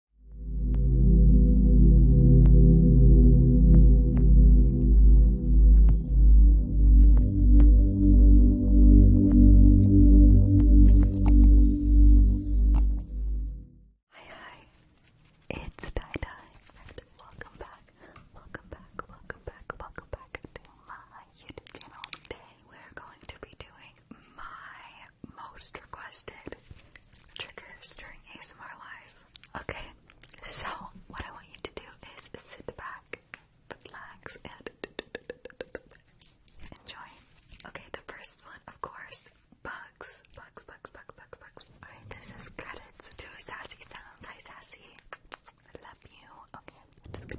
Hi hi, it's Dai Dai and welcome back, welcome back, welcome back, welcome back to my YouTube channel. Today we're going to be doing my most requested triggers during ASMR Live. Okay, so what I want you to do is sit back, relax, and enjoy. Okay, the first one, of course, bugs. Bugs, bugs, bugs, bugs, bugs. Alright, this is credits to Sassy Sounds. Hi, Sassy. I love you. Okay,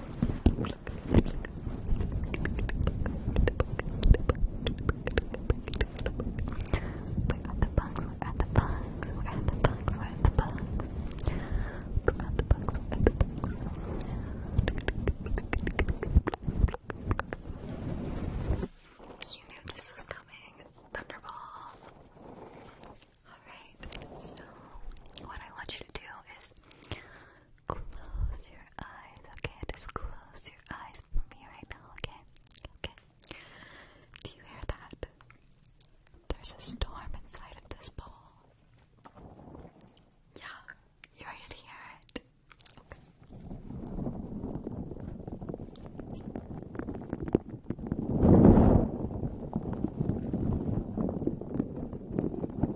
We're at the bugs, we're at the bugs, we're at the bugs, we're at the bugs. We're at the bugs, You knew this was coming. Thunderball. Alright, so what I want you to do is Close your eyes, okay? Just close your eyes for me right now, okay? Okay. Do you hear that? There's a storm inside of this bowl. Yeah, you ready to hear it?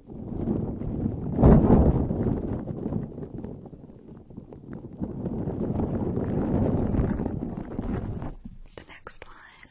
The next one is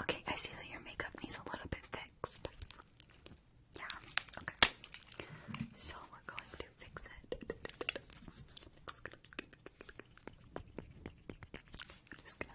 Okay, I see that your makeup needs a little bit fixed. Yeah, okay. So we're going to fix it. Just gonna...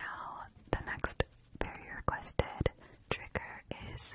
Now, the next very requested trigger is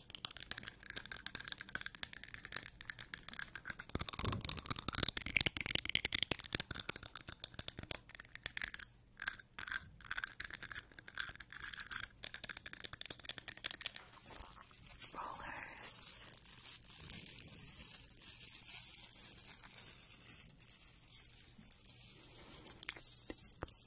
Rollers.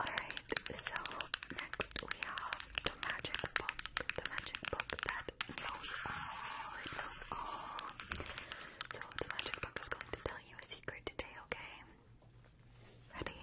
Alright, so next we have the magic book. The magic book that knows all. knows all. So the magic book is going to tell you a secret today, okay? Ready?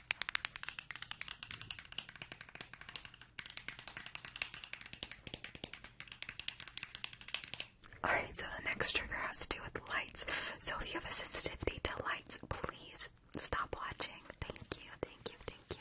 Alright, so the next trigger has to do with lights. So if you have a sensitivity to lights, please stop watching. Thank you, thank you, thank you.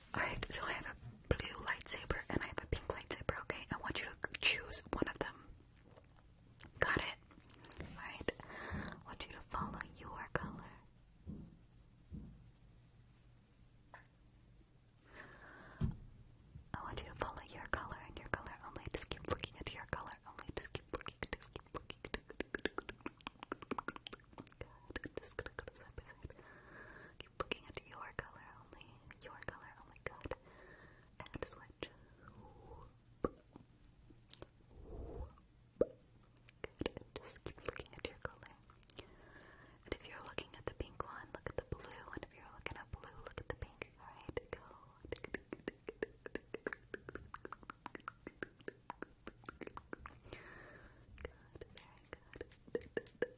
Alright, so I have a blue lightsaber and I have a pink lightsaber, okay? I want you to choose one of them. Got it? Alright, I want you to follow your color. I want you to follow your color and your color only. Just keep looking at your color only. Just keep looking. Just keep looking keep looking at your color only. Your color, oh god. And switch. Just keep looking at your color. And if you're looking at the pink one, look at the blue. And if you're looking at blue, look at the pink. Alright, go.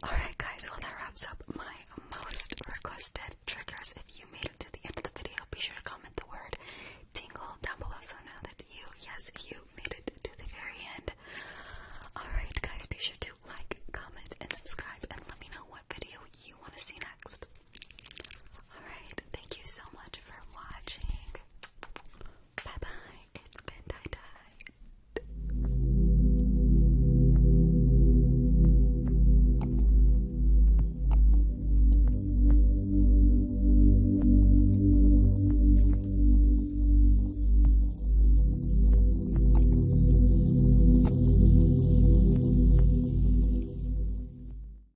Alright, guys, well, that wraps up my most requested triggers. If you made it to the end of the video, be sure to comment the word tingle down below so now that you, yes, you made it to the very end. Alright, guys, be sure to like, comment, and subscribe, and let me know what video you want to see next. Alright, thank you so much for watching. Bye bye. It's been tie